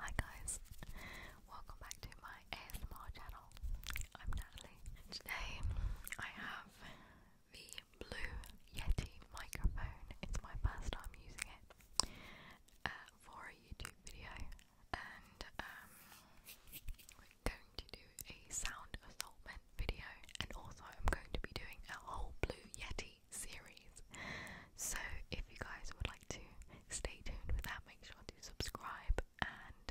Hi guys, welcome back to my ASMR channel. I'm Natalie. Today I have the Blue Yeti microphone. It's my first time using it uh, for a YouTube video, and um, we going to do a sound assortment video, and also I'm going to be doing a whole Blue Yeti complete series. So, if you guys would like to stay tuned with that, make sure to subscribe and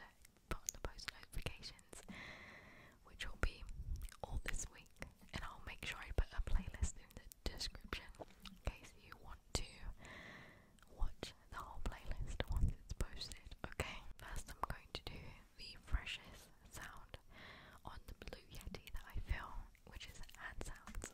put on the post notifications, which will be all this week. And I'll make sure I put a playlist in the description in case you want to watch the whole playlist once it's posted. Okay, first I'm going to do the freshest sound on the Blue Yeti that I film, which is hand sounds.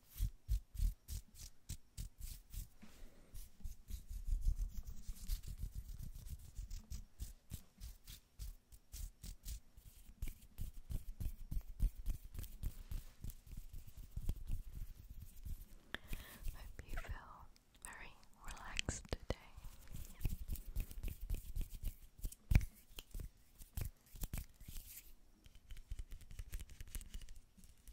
Hope you feel very relaxed today.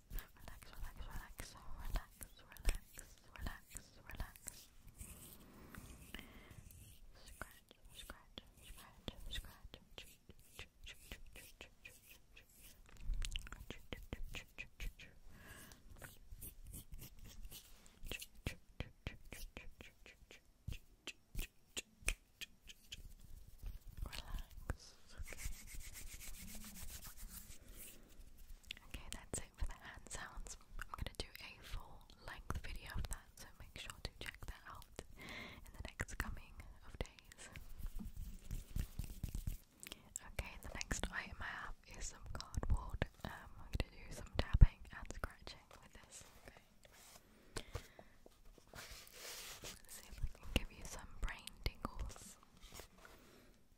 Relax, relax, relax, relax, relax, relax, relax. Scratch, scratch, scratch, scratch. Relax, Okay, that's it for the hand sounds. I'm gonna do a full length video of that, so make sure to check that out in the next coming of days. Okay, the next item I have is some cardboard. Um, I'm gonna do some tapping and scratching with this. Okay. see if I can give you some brain tingles.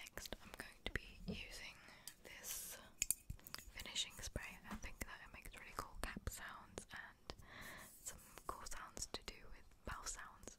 Next, I'm going to be using this finishing spray. I think that it makes really cool cap sounds and some cool sounds to do with mouth sounds. So.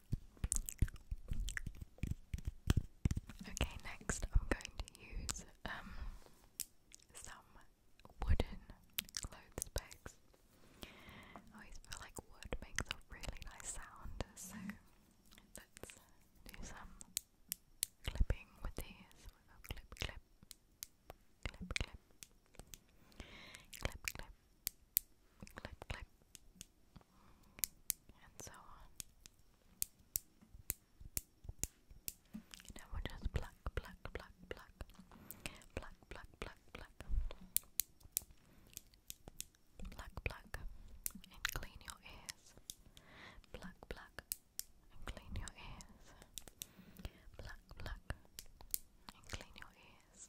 Okay, next I'm going to use um some wooden clothes pegs. I always feel like wood makes a really nice sound, so let's do some clipping with these. We'll clip, clip, clip, clip, clip, clip, clip, clip, clip, and so on. And I will just pluck, pluck, pluck, pluck, pluck, pluck, pluck, pluck, pluck, pluck, and clean your ears. Pluck, pluck, and clean your ears. Pluck, pluck, and clean your ears.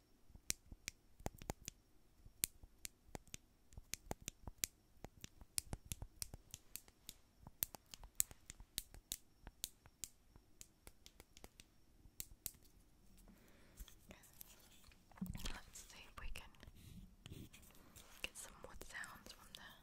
Let's see if we can get some wood sounds from there.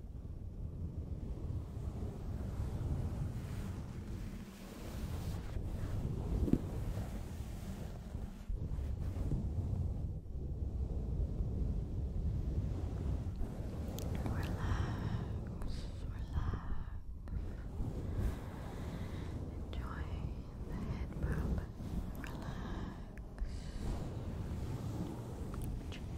Relax, relax. Enjoy the head bump. Relax. Enjoy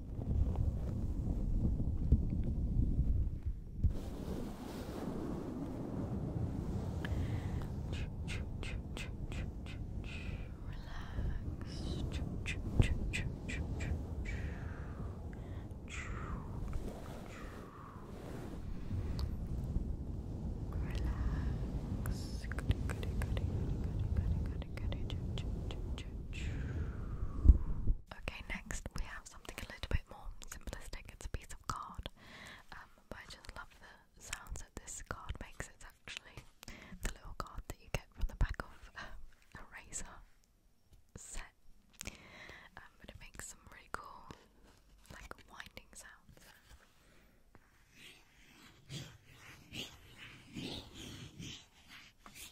Relax. Goody, goody, goody, goody, goody, goody, goody, Okay, next we have something a little bit more simplistic. It's a piece of card, um, but I just love the sounds that this card makes. It's actually the little card that you get from the back of a eraser set, um, it makes some really cool, like winding sounds.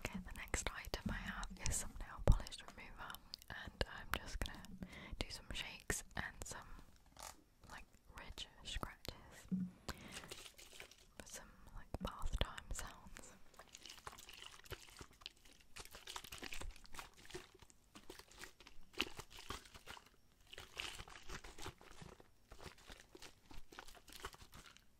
Okay, the next item I have is some nail polish remover, and I'm just gonna do some shakes and some like ridge scratches some like bath time sounds.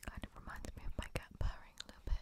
Kind of reminds me of my cat purring a little bit.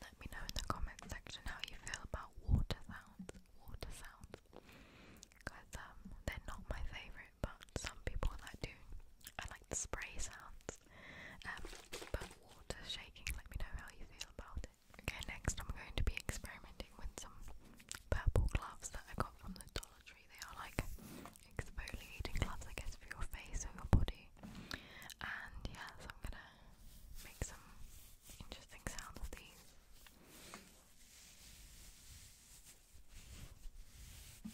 Let me know in the comment section how you feel about water sounds. Water sounds, because um, they're not my favorite but some people like do. I like spray sounds. Um, but water shaking, let me know how you feel about it. Okay, next I'm going to be experimenting with some purple gloves that I got from the Dollar Tree. They are like exfoliating gloves, I guess, for your face or your body. And yeah, so I'm gonna make some interesting sounds with these. I'm going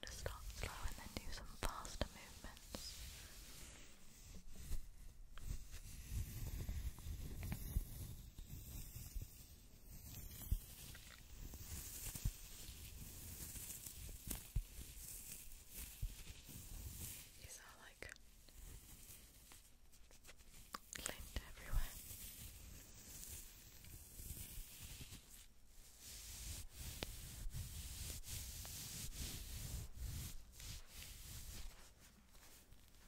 to start slow and then do some faster movements. These are like linked everywhere.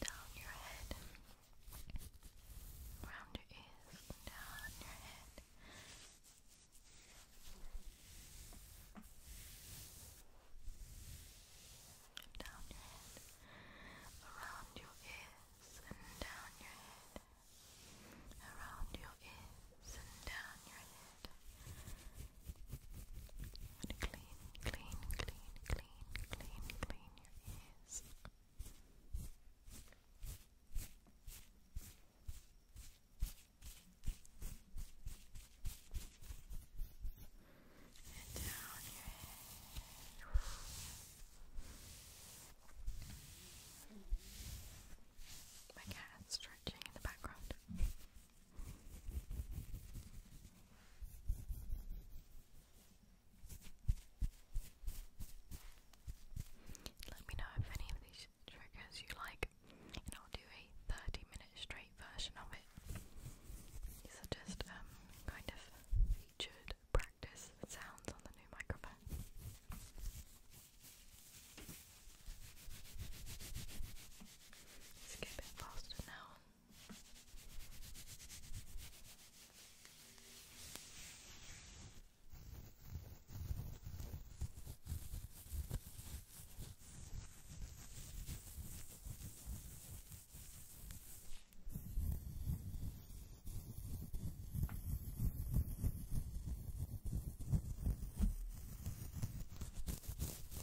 down your head, around your ears, down your head. Down your head, around your ears, and down your head, around your ears, and down your head i clean, clean, clean, clean, clean, clean your ears. And down your head. My cat's stretching in the background. Let me know if any of these triggers you like, and I'll do a 30 minute straight version of it. just um, kind of featured practice sounds on the new microphone. Let's get a bit faster now. Okay,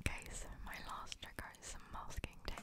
Okay, so my last trigger is some masking tape.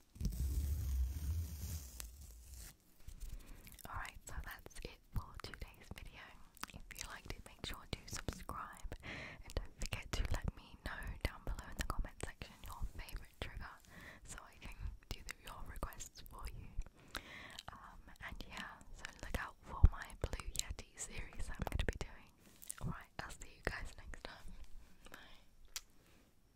Alright, so that's it for today's video. If you liked it, make sure to subscribe and don't forget to let me know down below in the comment section your favourite trigger so I can do your requests for you. Um, and yeah, so look out for my Blue Yeti series I'm going to be doing. Alright, I'll see you guys next time. Bye.